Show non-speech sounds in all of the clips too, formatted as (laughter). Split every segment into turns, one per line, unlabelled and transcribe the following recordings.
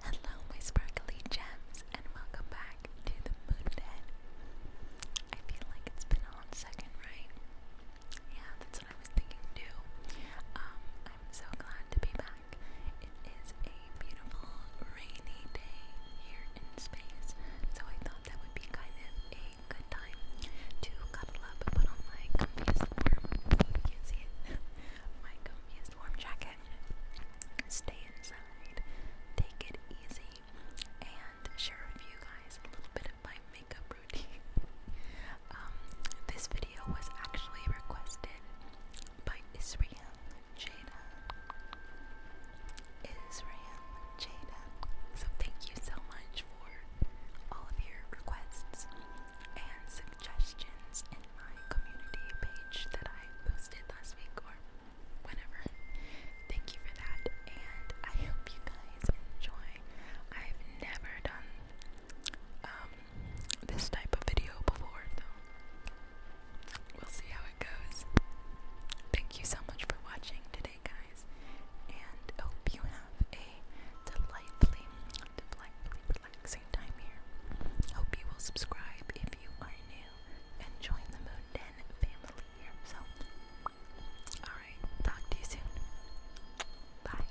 Hello, my sparkly gems, and welcome back to the Mooned Dead. I feel like it's been on second, right? Yeah, that's what I was thinking too. Um, I'm so glad to be back. It is a beautiful rainy day here in space, so I thought that would be kind of a good time to cuddle up put on my comfiest warm, you (laughs) my comfiest warm jacket. Stay inside, take it easy, and share with you guys a little bit of my makeup routine. (laughs) Um, this video was actually requested by Israel Jada. Israel Jada. So thank you so much for all of your requests and suggestions in my community page that I posted last week or whenever thank you for that, and I hope you guys enjoy. I've never done um, this type of video before, though. We'll see how it goes. Thank you so much for watching today, guys, and hope you have a delightfully, delightfully relaxing time here. Hope you will subscribe if you are new and join the Moden family. So, alright, talk to you soon. Bye.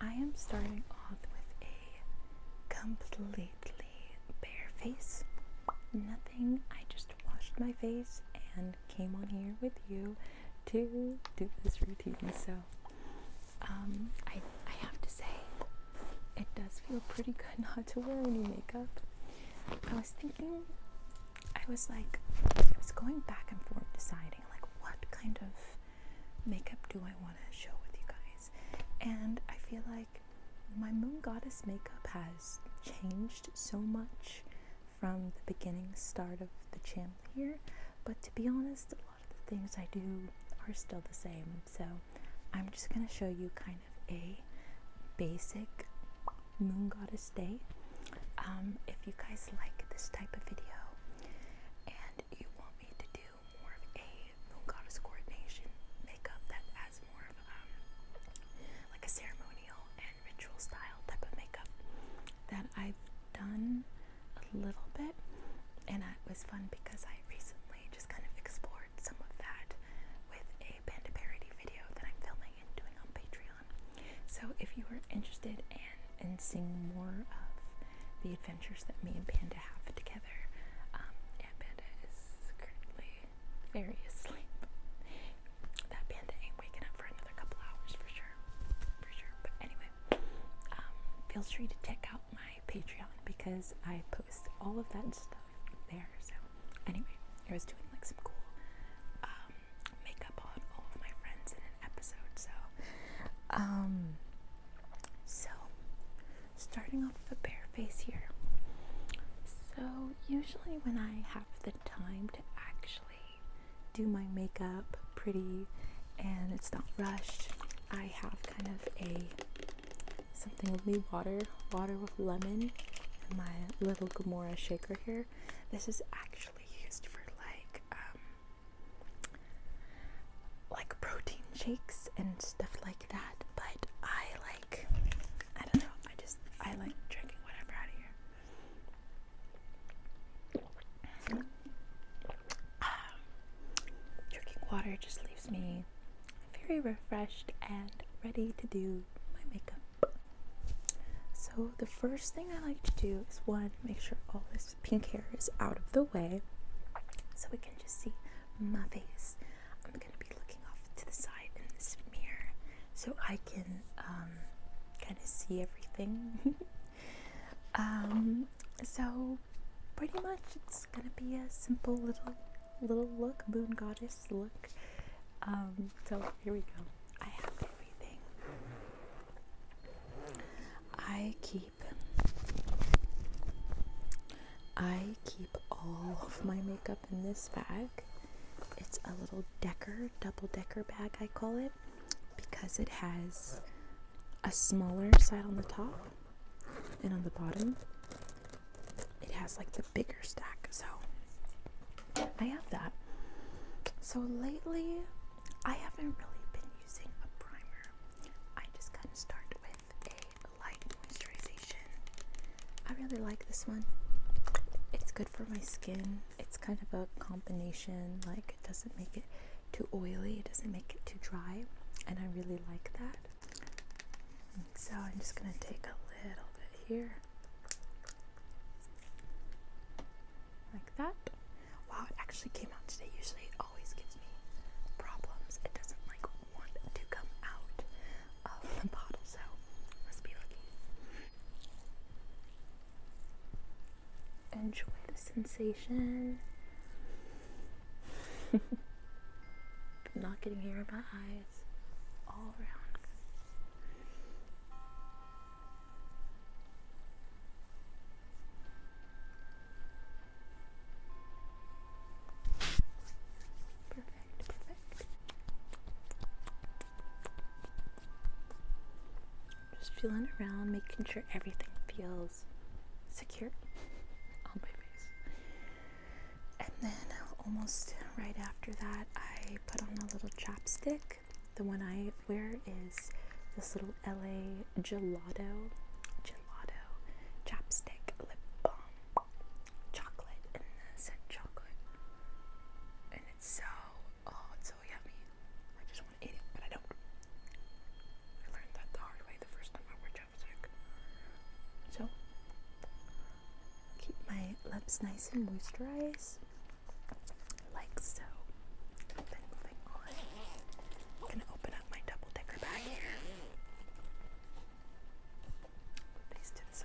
I am starting off with a completely bare face. Nothing. I just washed my face and came on here with you to do this routine. So, um, I I have to say, it does feel pretty good (laughs) not to wear any makeup. I was thinking, I was like, I was going back and forth deciding, like, what kind of makeup do I want to show with you guys? And I feel like my Moon Goddess makeup has changed so much from the beginning start of the channel here, but to be honest, a lot of the things I do are still the same. So I'm just going to show you kind of a basic Moon Goddess Day. Um, if you guys like this type of video and you want me to do more of a Moon Goddess coordination makeup that has more of um, like a ceremonial and ritual style type of makeup that I've done a little bit, and it was fun because I recently just kind of explored some of that with a Panda Parody video that I'm filming doing on Patreon. So if you are interested in, in seeing more of the adventures that me and Panda have together, um, yeah, Panda is currently very asleep. That Panda ain't waking up for another couple hours for sure, for sure. But anyway, um, feel free to check out my Patreon because I post all of that stuff there. So Anyway, I was doing like some cool um, makeup on all of my friends in an episode. So, um, so starting off with a bare face here. So usually when I have the time to actually do my makeup pretty and it's not rushed, I have kind of a something with me water, water lemon and my little Gamora shaker here. This is actually used for like um, like protein shakes and stuff like that, but I like I don't know, I just I like drinking whatever out of here. Um, drinking water just leaves me very refreshed and ready to do my makeup. So, the first thing I like to do is one, make sure all this pink hair is out of the way so we can just see my face. I'm going to be looking off to the side in this mirror so I can um, kind of see everything. (laughs) Um, so, pretty much it's going to be a simple little little look, moon goddess look. Um, so here we go. I have everything. I keep I keep all of my makeup in this bag. It's a little decker, double decker bag I call it because it has a smaller side on the top and on the bottom it has like the bigger stack. So I have that. So lately, I haven't really been using a primer. I just kind of start with a light moisturization. I really like this one. It's good for my skin. It's kind of a combination, like it doesn't make it too oily, it doesn't make it too dry, and I really like that. So I'm just gonna take a little bit here. Like that. Wow, it actually came out today. Usually it always gives me problems. It doesn't like want to come out of the bottle, so let be lucky. Enjoy the sensation. (laughs) Not getting hair in my eyes all around. Perfect, Just feeling around, making sure everything feels secure (laughs) on my face. And then almost right after that, I put on a little chapstick. The one I wear is this little LA Gelato, Gelato chapstick lip balm, chocolate and chocolate, and it's so oh it's so yummy. I just want to eat it, but I don't. I learned that the hard way the first time I wore chapstick. So keep my lips nice and moisturized, like so. Then moving on, I'm gonna open up my double decker bag here. Put these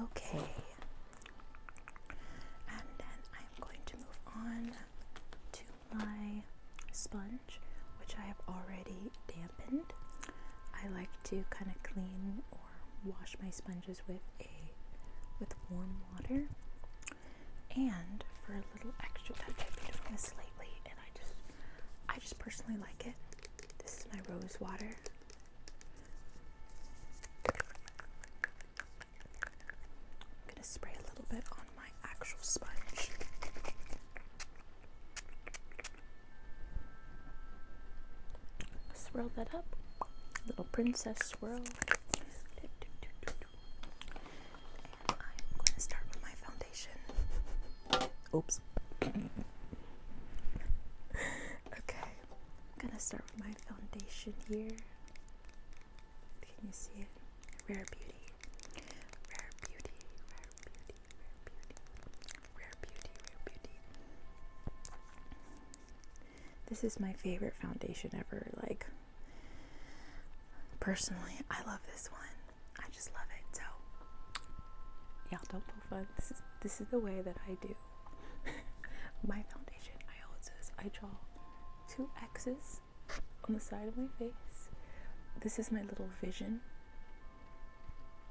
Okay, and then I'm going to move on to my sponge, which I have already dampened. I like to kind of clean or wash my sponges with a with warm water. And for a little extra touch, I've been doing this lately, and I just I just personally like it. This is my rose water. I'm gonna spray a little bit on my actual sponge. Swirl that up. Little princess swirl. I'm going to start with my foundation. Oops. okay. I'm going to start with my foundation here. Can you see it? Rare beauty. Rare beauty. Rare beauty beauty, rare beauty, rare beauty. This is my favorite foundation ever. Like, personally, I love this one. I just love it. So, y'all don't pull fun. This is this is the way that I do (laughs) my foundation. I always I draw two X's on the side of my face. This is my little vision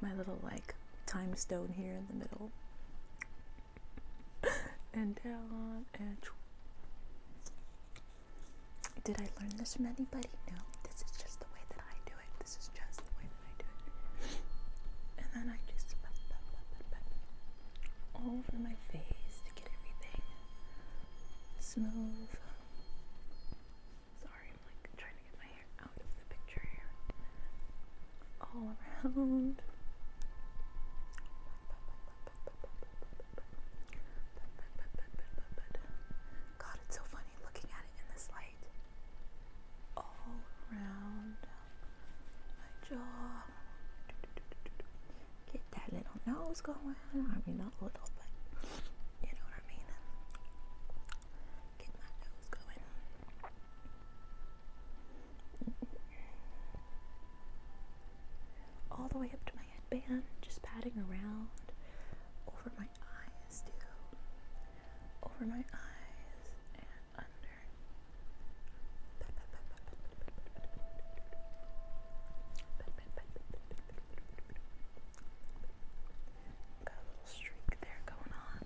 my little like time stone here in the middle. (laughs) and down and did I learn this from anybody? No, this is just the way that I do it. This is just the way that I do it. And then I just all over my face to get everything smooth Sorry, I'm like trying to get my hair out of the picture here. All around. God, it's so funny looking at it in this light. All around my jaw. Get that little nose going. I mean, not little, but you know what I mean? Get my nose going. All the way up to my headband, just patting around. Over my eyes, too. Over my eyes and under. Got a little streak there going on.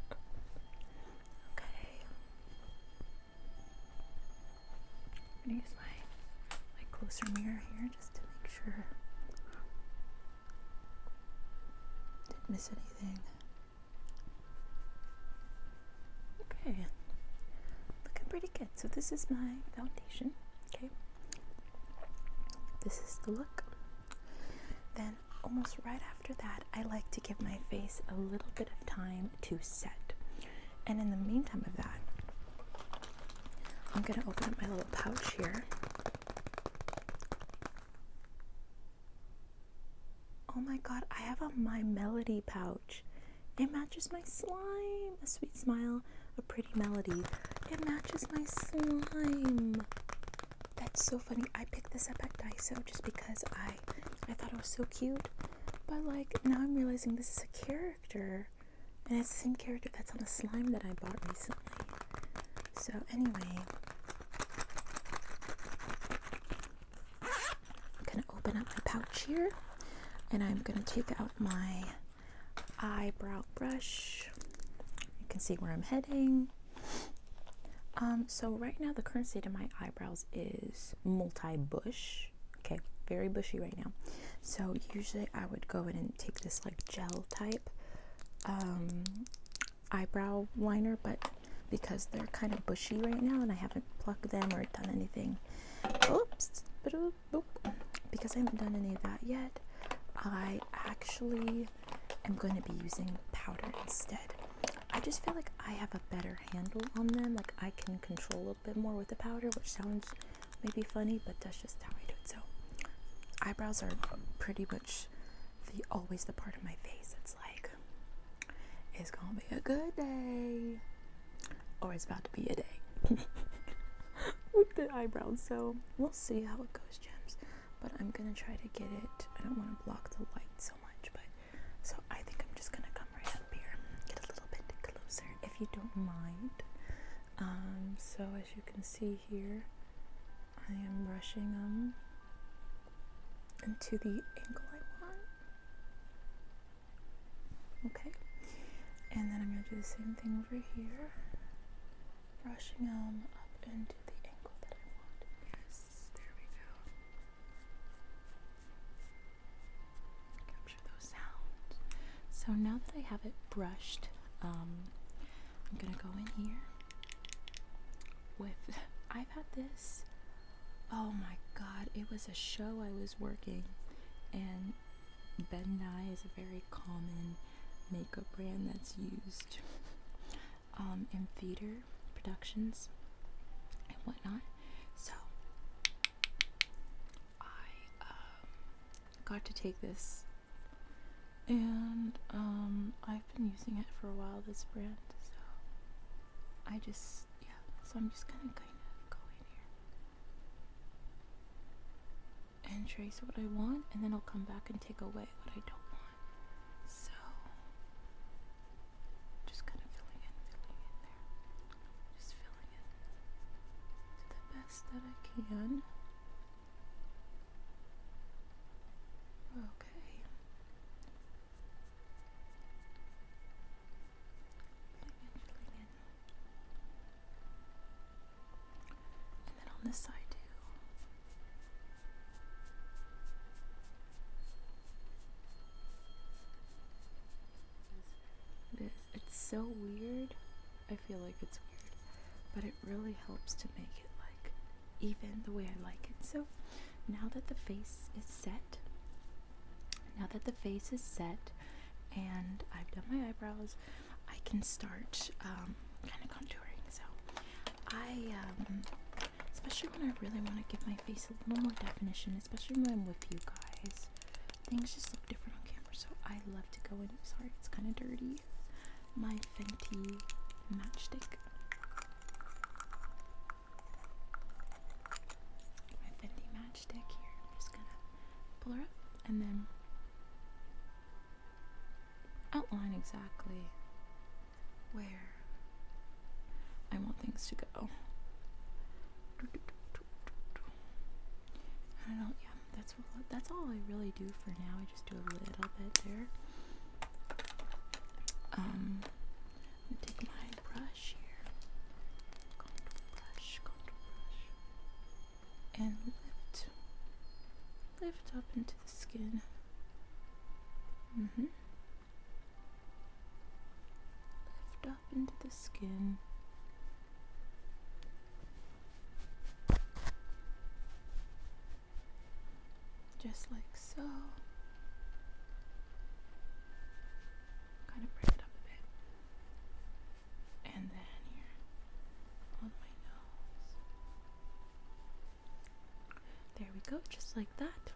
(laughs) okay. I'm gonna use my my closer mirror here just to make sure. Didn't miss anything. Okay. Looking pretty good. So this is my foundation. Okay. This is the look. Then, almost right after that, I like to give my face a little bit of time to set. And in the meantime, of that, I'm going to open up my little pouch here. Oh my god, I have a My Melody pouch. It matches my slime. A sweet smile, a pretty melody. It matches my slime. That's so funny. I picked this up at Daiso just because I I thought it was so cute. But like now I'm realizing this is a character. And it's the same character that's on the slime that I bought recently. So anyway. I'm gonna open up my pouch here and I'm gonna take out my eyebrow brush. You can see where I'm heading. Um, so right now the current state of my eyebrows is multi-bush. Okay, very bushy right now. So usually I would go in and take this like gel type um, eyebrow liner, but because they're kind of bushy right now and I haven't plucked them or done anything. Oops, because I haven't done any of that yet, I actually am going to be using powder instead. I just feel like I have a better handle on them. Like I can control a bit more with the powder, which sounds maybe funny, but that's just how I do it. So eyebrows are pretty much the always the part of my face. that's like it's gonna be a good day or it's about to be a day (laughs) with the eyebrows. So we'll see how it goes, gems. But I'm gonna try to get it. I don't want to block the light so much, but so I think I'm just gonna come right up here, get a little bit closer if you don't mind. Um, so as you can see here, I am brushing them into the angle I want. Okay, and then I'm going to do the same thing over here, brushing them up into the angle that I want. Yes, there we go. Capture those sounds. So now that I have it brushed, um, I'm going to go in here with. (laughs) I've had this. Oh my god, it was a show I was working, and Ben Nye is a very common makeup brand that's used um, in theater productions and whatnot. So I um, got to take this, and um, I've been using it for a while. This brand, so I just yeah. So I'm just gonna kind of go in here and trace what I want, and then I'll come back and take away what I don't want. So, just kind of filling in, filling in there. Just filling in to the best that I can. Okay. And then on this side too. it's so weird. I feel like it's weird, but it really helps to make it like even the way I like it. So now that the face is set, now that the face is set and I've done my eyebrows, I can start um, kind of contouring. So I, um, especially when I really want to give my face a little more definition, especially when I'm with you guys, things just look different on camera. So I love to go in. Sorry, it's kind of dirty. My Fenty matchstick. My Fendi matchstick here. I'm just gonna pull her up and then outline exactly where I want things to go. I know, yeah, that's that's all I really do for now. I just do a little bit there. Um, take my brush here and lift lift up into the skin mm -hmm. lift up into the skin just like so kind of bring it up a bit and then here on my nose. There we go, just like that.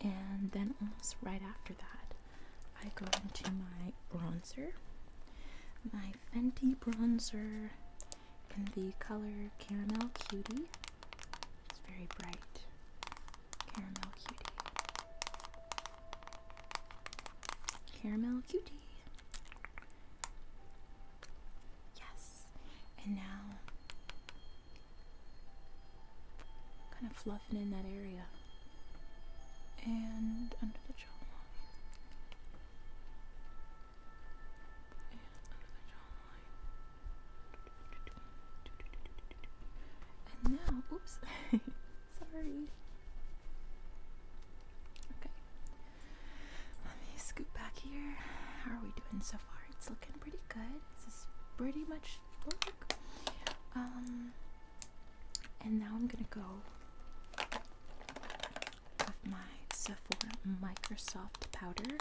And then almost right after that, I go into my bronzer, my Fenty bronzer in the color Caramel Cutie. It's very bright. Caramel Cutie. Caramel cutie. Yes. And now kind of fluffing in that area. And under the jawline. And under the jawline. And now oops (laughs) Sorry. Okay. Let me scoot back here. How are we doing so far? It's looking pretty good. This is pretty much black. Um, and now I'm gonna go with my Sephora Microsoft powder.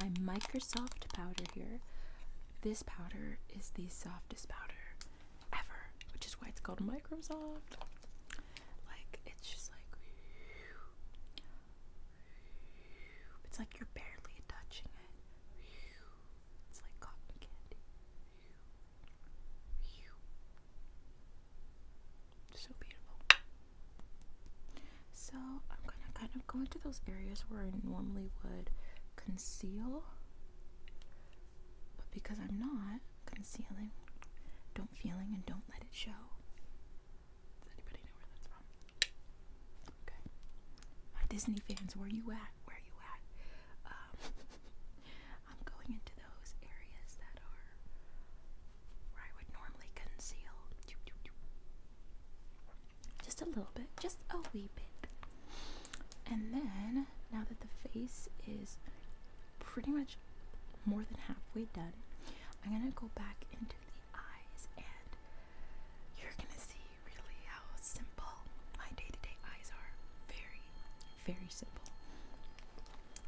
My Microsoft powder here. This powder is the softest powder ever, which is why it's called Microsoft. Like, it's just like, it's like you're barely touching it. It's like cotton candy. So beautiful. So I'm gonna kind of go into those areas where I normally would conceal but because I'm not concealing, don't feeling, and don't let it show. Does anybody know where that's from? Okay. My Disney fans, where you at? Where you at? Um, (laughs) I'm going into those areas that are where I would normally conceal. Just a little bit, just a wee bit. And then now that the face is pretty much more than halfway done, I'm gonna go back into the eyes and you're gonna see really how simple my day to day eyes are. Very, very simple.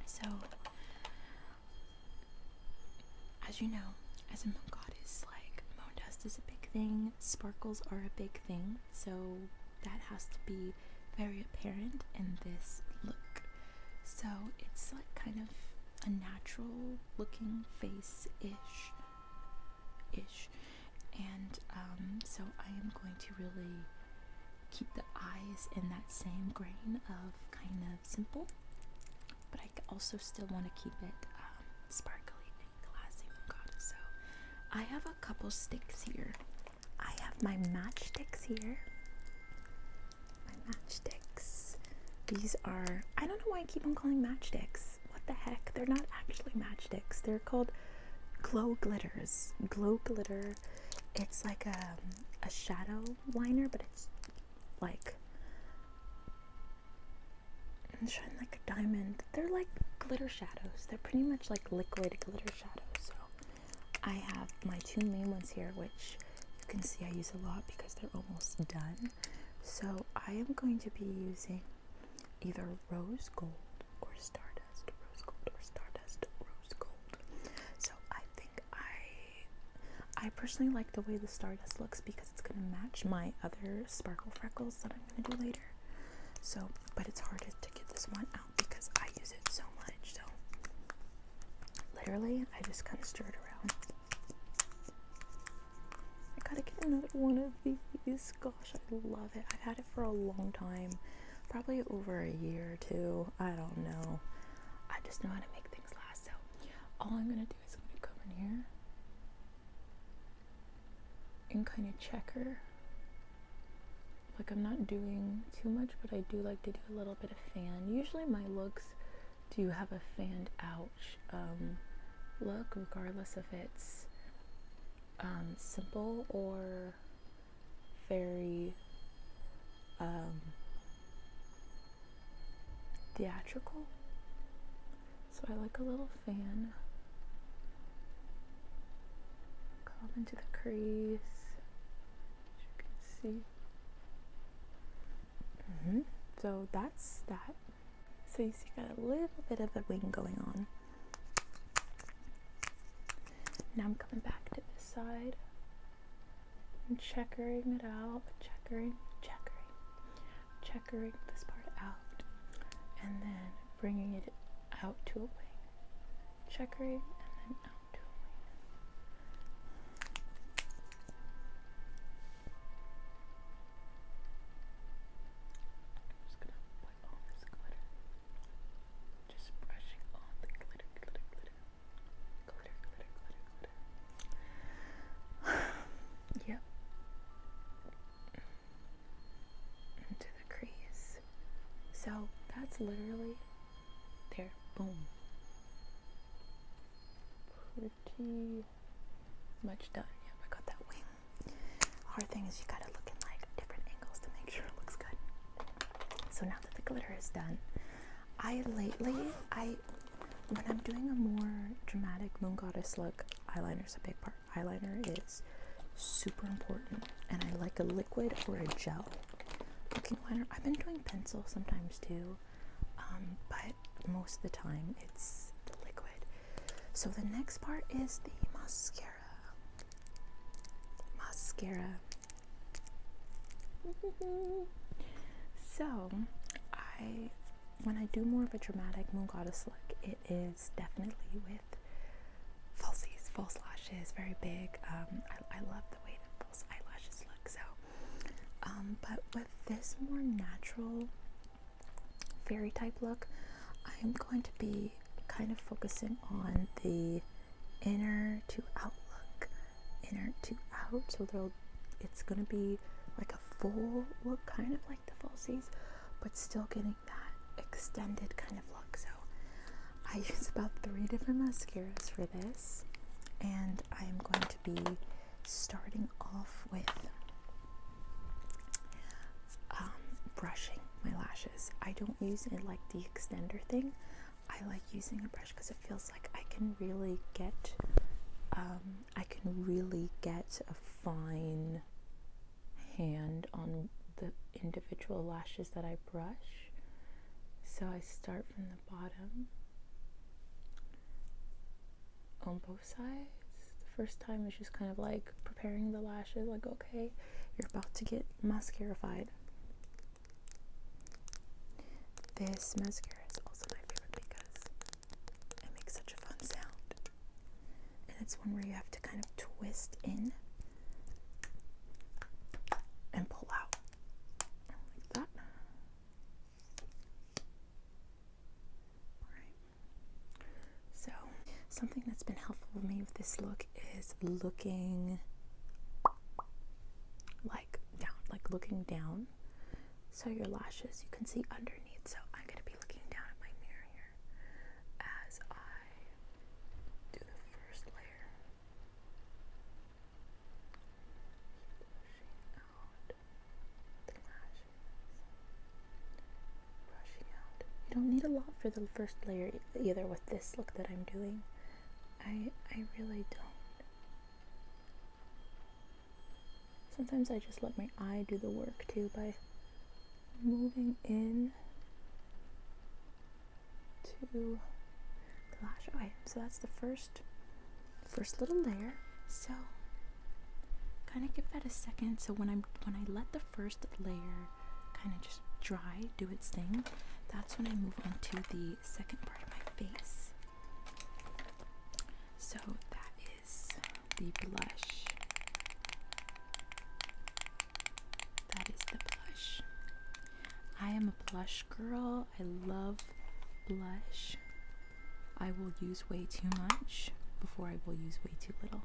So, as you know, as a moon goddess, like moon dust is a big thing, sparkles are a big thing, so that has to be very apparent in this look. So it's like kind of a natural looking face ish, ish, and um, so I am going to really keep the eyes in that same grain of kind of simple, but I also still want to keep it um, sparkly and classy. Moncada. So I have a couple sticks here. I have my matchsticks here. My matchsticks. These are, I don't know why I keep on calling matchsticks. What the heck? They're not actually matchsticks. They're called glow glitters. Glow glitter. It's like a, um, a shadow liner, but it's like, it's shining like a diamond they're like glitter shadows. They're pretty much like liquid glitter shadows. So I have my two main ones here, which you can see I use a lot because they're almost done. So I am going to be using either rose gold or stardust, rose gold or stardust, rose gold. So I think I, I personally like the way the stardust looks because it's gonna match my other sparkle freckles that I'm gonna do later. So, but it's hard to get this one out because I use it so much. So literally, I just kind of stir it around. I gotta get another one of these. Gosh, I love it. I've had it for a long time, probably over a year or two. I don't know. I just know how to make things last. So all I'm gonna do is I'm gonna come in here and kind of checker. Like I'm not doing too much, but I do like to do a little bit of fan. Usually my looks do have a fanned out um, look, regardless if it's um, simple or very um, theatrical. So I like a little fan. Curl into the crease, you can see. Mm-hmm. So that's that. So you see, got a little bit of a wing going on. Now I'm coming back to this side. and checkering it out, checkering, checkering, checkering this part out, and then bringing it out to a wing checkmate, and then just going all this glitter. glitter, glitter, glitter, glitter, glitter, glitter, glitter. (sighs) yep into the crease. So that's literally there. Boom. Pretty much done. Yep, I got that wing. Hard thing is you gotta look in like different angles to make (laughs) sure it looks good. So now that the glitter is done, I lately I when I'm doing a more dramatic moon goddess look, eyeliner's a big part. Eyeliner is super important, and I like a liquid or a gel looking I've been doing pencil sometimes too, um, but most of the time it's the liquid. So the next part is the mascara. Mascara. (laughs) so I when I do more of a dramatic moon goddess look, it is definitely with falsies, false lashes, very big. Um, I, love the way that false eyelashes look. So, um, but with this more natural fairy type look, I'm going to be kind of focusing on the inner to out look, inner to out. So it's gonna be like a full look, kind of like the falsies, but still getting that extended kind of look. So I use about three different mascaras for this, and I am going to be starting off with um, brushing my lashes. I don't use it like the extender thing. I like using a brush because it feels like I can really get um, I can really get a fine hand on the individual lashes that I brush. So I start from the bottom on both sides. The first time is just kind of like preparing the lashes, like, okay, you're about to get mascarified. This mascara is also my favorite because it makes such a fun sound. And it's one where you have to to kind of twist in and pull out like that. So, something that's been helpful for me with this look is looking like down, like looking down. So your lashes, you can see underneath. So I'm going to be looking down at my mirror here as I do the first layer. Brushing out the lashes. Brushing out. You don't need a lot for the first layer either with this look that I'm doing. I I really don't. Sometimes I just let my eye do the work too by moving in to the lash. Okay, so that's the first first little layer. So kind of give that a second. So when I'm when I let the first layer kind of just dry, do its thing, that's when I move on to the second part of my face. So that is the blush. That is the blush. I am a blush girl. I love blush. I will use way too much before I will use way too little.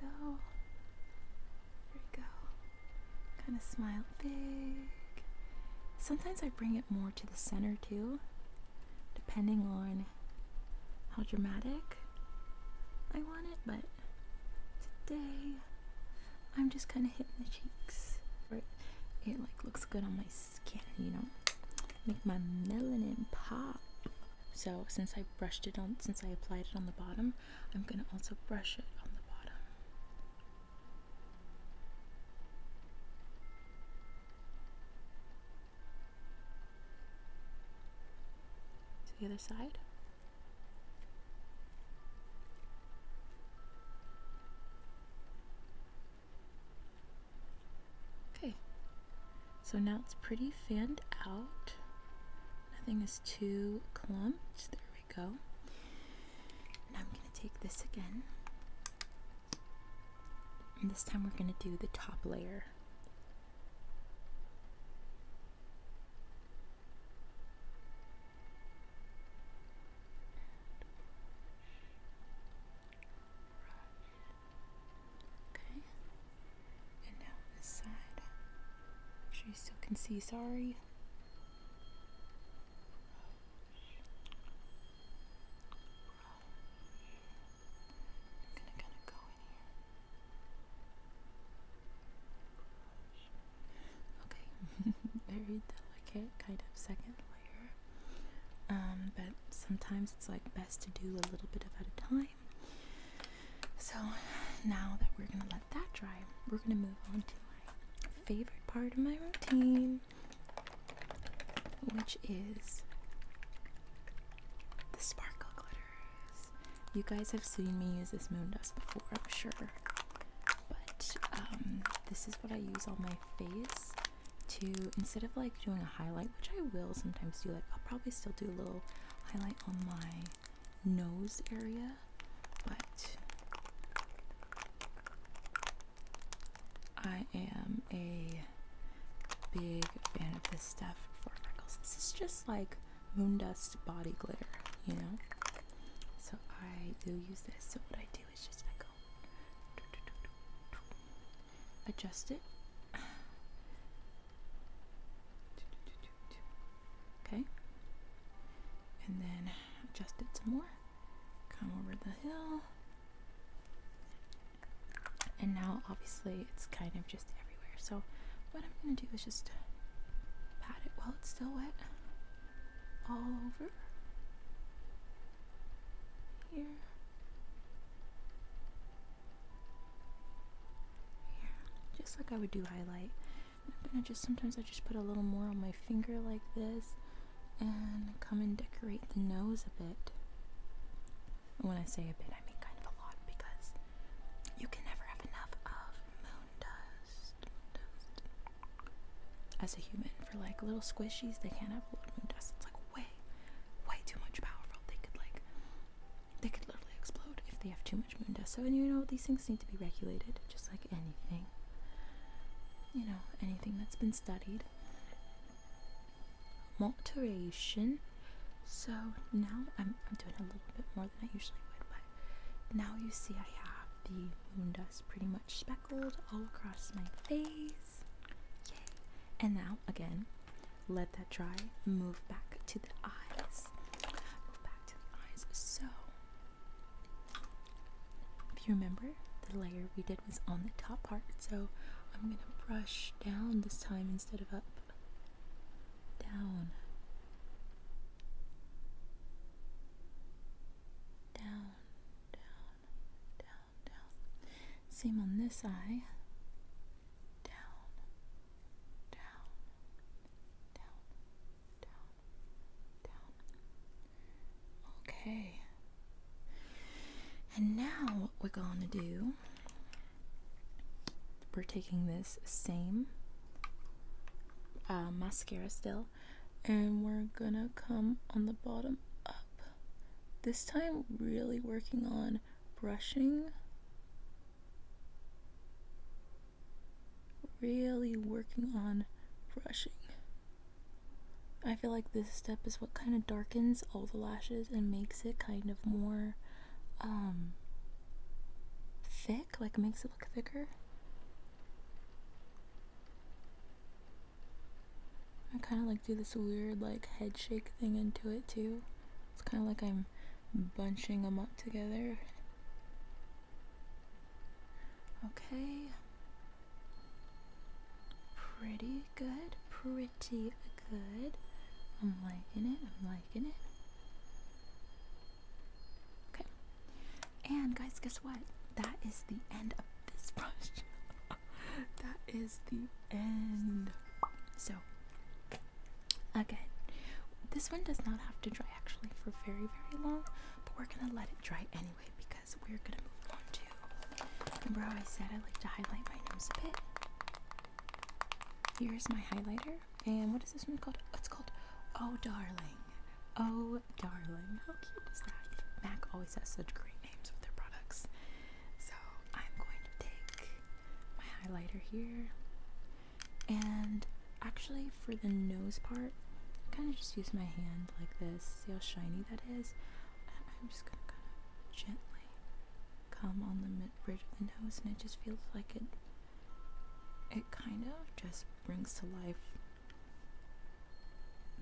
So, there we go. Kind of smile big. Sometimes I bring it more to the center too, depending on how dramatic I want it, but today I'm just kind of hitting the cheeks. It, it like looks good on my skin, you know, make my melanin pop. So since I brushed it on, since I applied it on the bottom, I'm gonna also brush it on the bottom. To the other side. Okay, so now it's pretty fanned out. Nothing is too clumped. There we go. Now I'm going to take this again. And this time we're going to do the top layer Okay. And now this side. Sure you still can see, sorry. Okay, (laughs) very delicate kind of second layer. Um, but sometimes it's like best to do a little bit of at a time. So now that we're gonna let that dry, we're gonna move on to my favorite part of my routine, which is the sparkle glitter. You guys have seen me use this moon dust before, I'm sure. But um, this is what I use on my face to, instead of like doing a highlight, which I will sometimes do, like I'll probably still do a little highlight on my nose area, but I am a big fan of this stuff for freckles. This is just like Moondust body glitter, you know. So I do use this. So what I do is just I go adjust it. Okay. And then adjust it some more. Come over the hill. And now obviously it's kind of just just everywhere. So what I'm gonna do is just pat it while it's still wet all over here. Here. Just like I would do highlight. And i just sometimes I just put a little more on my finger like this and come and decorate the nose a bit. when I say a bit, I mean kind of a lot because you can never have enough of as a human, for like little squishies, they can't have a lot of moon dust. It's like way, way too much powerful. They could like, they could literally explode if they have too much moon dust. So, and you know, these things need to be regulated, just like anything. You know, anything that's been studied. Moderation. So now I'm, I'm doing a little bit more than I usually would, but now you see I have the moon dust pretty much speckled all across my face. And now, again, let that dry. Move back to the eyes. Move back to the eyes. So, if you remember, the layer we did was on the top part. So, I'm going to brush down this time instead of up. Down. Down, down, down, down. Same on this eye. Down, down, down, down, down. Okay. And now what we're going to do we're taking this same uh, mascara still and we're gonna come on the bottom up this time really working on brushing really working on brushing I feel like this step is what kind of darkens all the lashes and makes it kind of more thick um, like makes it look thicker. I kind of like do this weird like head shake thing into it too. It's kind of like I'm bunching them up together. Okay. Pretty good, pretty good. I'm liking it, I'm liking it. Okay. And guys, guess what? That is the end of this (laughs) brush. that is the end. So, again, this one does not have to dry actually for very, very long, but we're gonna let it dry anyway because we're gonna move on to. Remember how I said I like to highlight my nose a bit? Here's my highlighter. And what is this one called? it's called Oh Darling. Oh Darling. How cute is that? MAC always has such great names with their products. So I'm going to take my highlighter here. And actually, for the nose part, I kind of just use my hand like this. See how shiny that is? And I'm just going to kind of gently come on the mid bridge of the nose, and it just feels like it it kind of just brings to life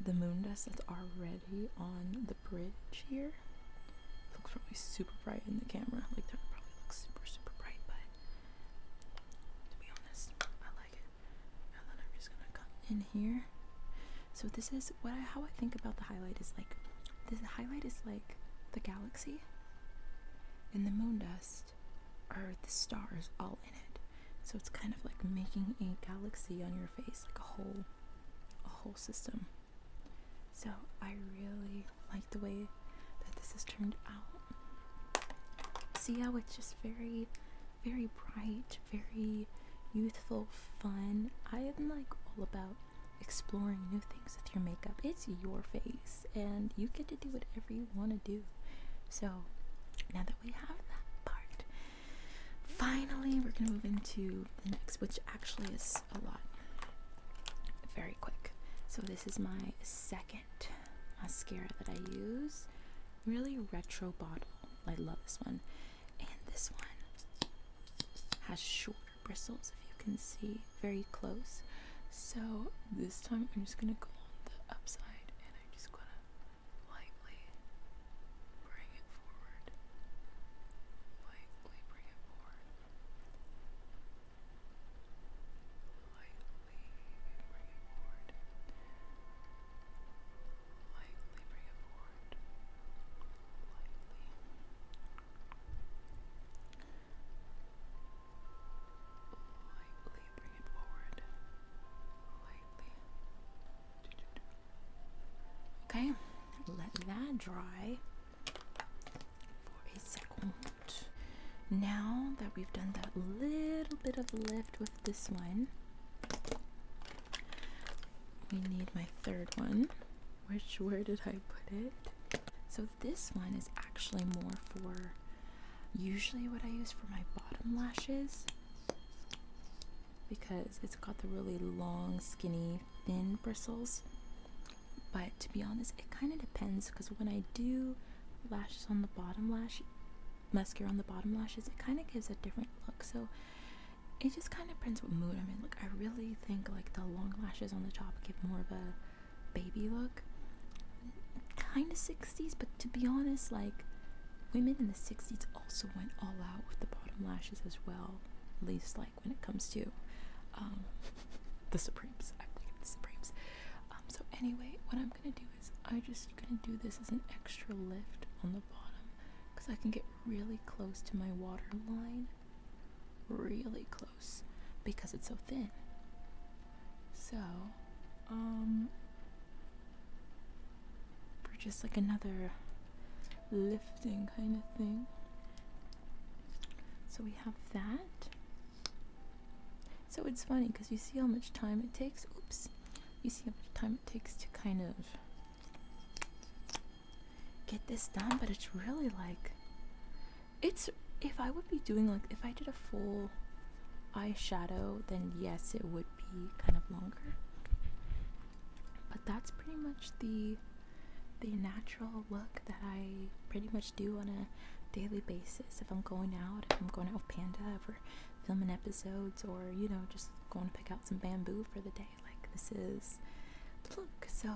the moon dust that's already on the bridge here. It looks probably super bright in the camera. Like that probably looks super super bright, but to be honest, I like it. And then I'm just gonna come in here. So this is what I, how I think about the highlight is like this highlight is like the galaxy and the moon dust just Earth, stars, all in it. So it's kind of like making a galaxy on your face, like a whole, a whole system. So I really like the way that this is turned out. See how it's just very, very bright, very youthful, fun. I am like all about exploring new things with your makeup. It's your face and you get to do whatever you want to do. So now that we have that part, finally we're going to move into the next, which actually is a lot. Very quick. So this is my second mascara that I use. Really retro bottle. I love this one. And this one has shorter bristles, if you can see very close. So this time I'm just gonna go on the upside and I'm just gonna lightly bring it forward. Lightly bring it forward. Lightly bring it forward. Lightly bring it forward. Okay, let that dry for a second. Now that we've done that little bit of lift with this one, we need my third one. Which, where did I put it? So this one is actually more for usually what I use for my bottom lashes because it's got the really long, skinny, thin bristles. But to be honest, it kind of depends because when I do lashes on the bottom lash, mascara on the bottom lashes, it kind of gives a different look. So it just kind of depends what mood I'm in. Like I really think like the long lashes on the top give more of a baby look. Kind of 60s, but to be honest, like women in the 60s also went all out with the bottom lashes as well. At least, like when it comes to um, (laughs) the Supremes, I think believe the Supremes. Um, so, anyway, what I'm gonna do is I'm just gonna do this as an extra lift on the bottom because I can get really close to my waterline, really close because it's so thin. So, um, for just like another lifting kind of thing. So we have that. So it's funny because you see how much time it takes. Oops. You see how much time it takes to kind of get this done, but it's really like it's if I would be doing like if I did a full eyeshadow, then yes, it would be kind of longer. But that's pretty much the the natural look that I pretty much do on a daily basis. If I'm going out, if I'm going out with Panda, if filming episodes, or you know, just going to pick out some bamboo for the day, like this is look. So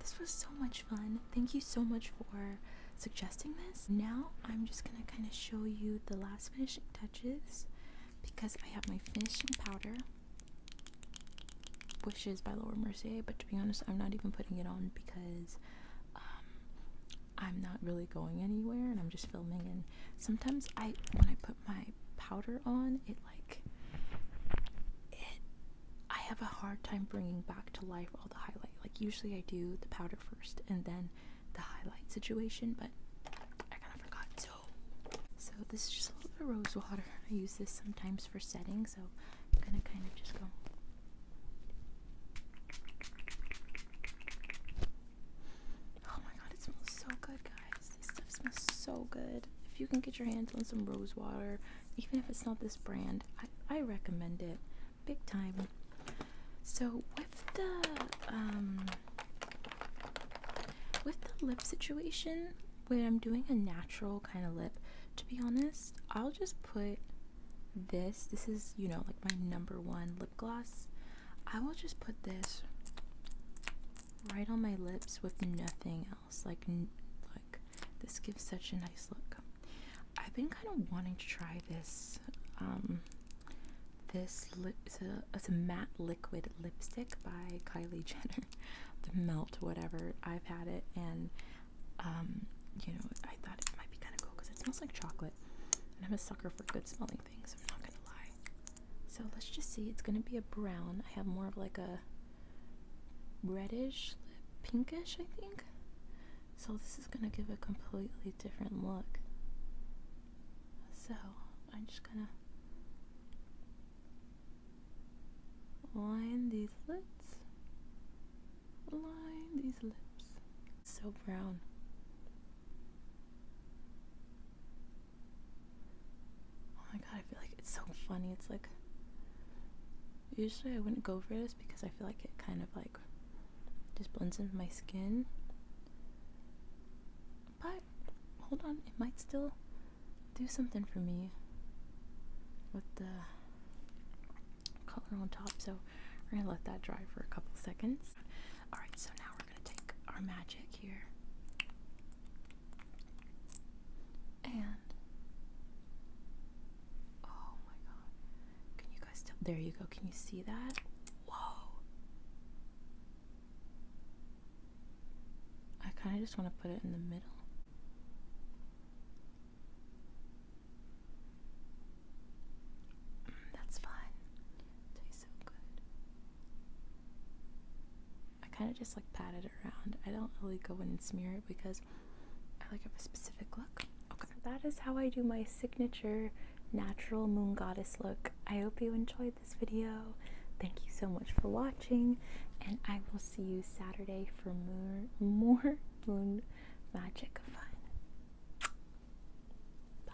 this was so much fun. Thank you so much for suggesting this. Now I'm just gonna kind of show you the last finishing touches because I have my finishing powder, which is by Laura Mercier, but to be honest, I'm not even putting it on because um, I'm not really going anywhere and I'm just filming and sometimes I when I put my powder on it like it I have a hard time bringing back to life the highlight. Like usually I do the powder first and then the highlight situation, but I kind of forgot. So, so this is just a little bit of rose water. I use this sometimes for setting, so I'm gonna kind of just go. Oh my god, it smells so good, guys. This stuff smells so good. If you can get your hands on some rose water, even if it's not this brand, I recommend it big time. So with the um, with the lip situation, when I'm doing a natural kind of lip, to be honest, I'll just put this. This is you know like my number one lip gloss. I will just put this right on my lips with nothing else. Like like this gives such a nice look. I've been kind of wanting to try this. Um, this lip it's a, matte liquid lipstick by Kylie (laughs) Jenner, the Melt whatever. I've had it and um, you know I thought it might be kind of cool because it smells like chocolate, and I'm a sucker for good smelling things. I'm not gonna lie. So let's just see. It's gonna be a brown. I have more of like a reddish, pinkish, I think. So this is going to give a completely different look. So I'm just going to line these lids, line these lips. So brown. Oh my god, I feel like it's so funny. It's like, usually I wouldn't go for this because I feel like it kind of like just blends into my skin. But hold on, it might still do something for me with the color on top. So we're gonna let that dry for a couple seconds. All right, so now we're gonna take our magic here and Oh my god. Can you guys tell? There you go. Can you see that? Whoa. I kind of just want to put it in the middle. Mm, that's fine. Tastes so good. I kind of just like patted it around. I don't really go in and smear it because I like have a specific look. Okay. that is how I do my signature natural moon goddess look. I hope you enjoyed this video. Thank you so much for watching, and I will see you Saturday for more, more (laughs) moon magic fun. Bye.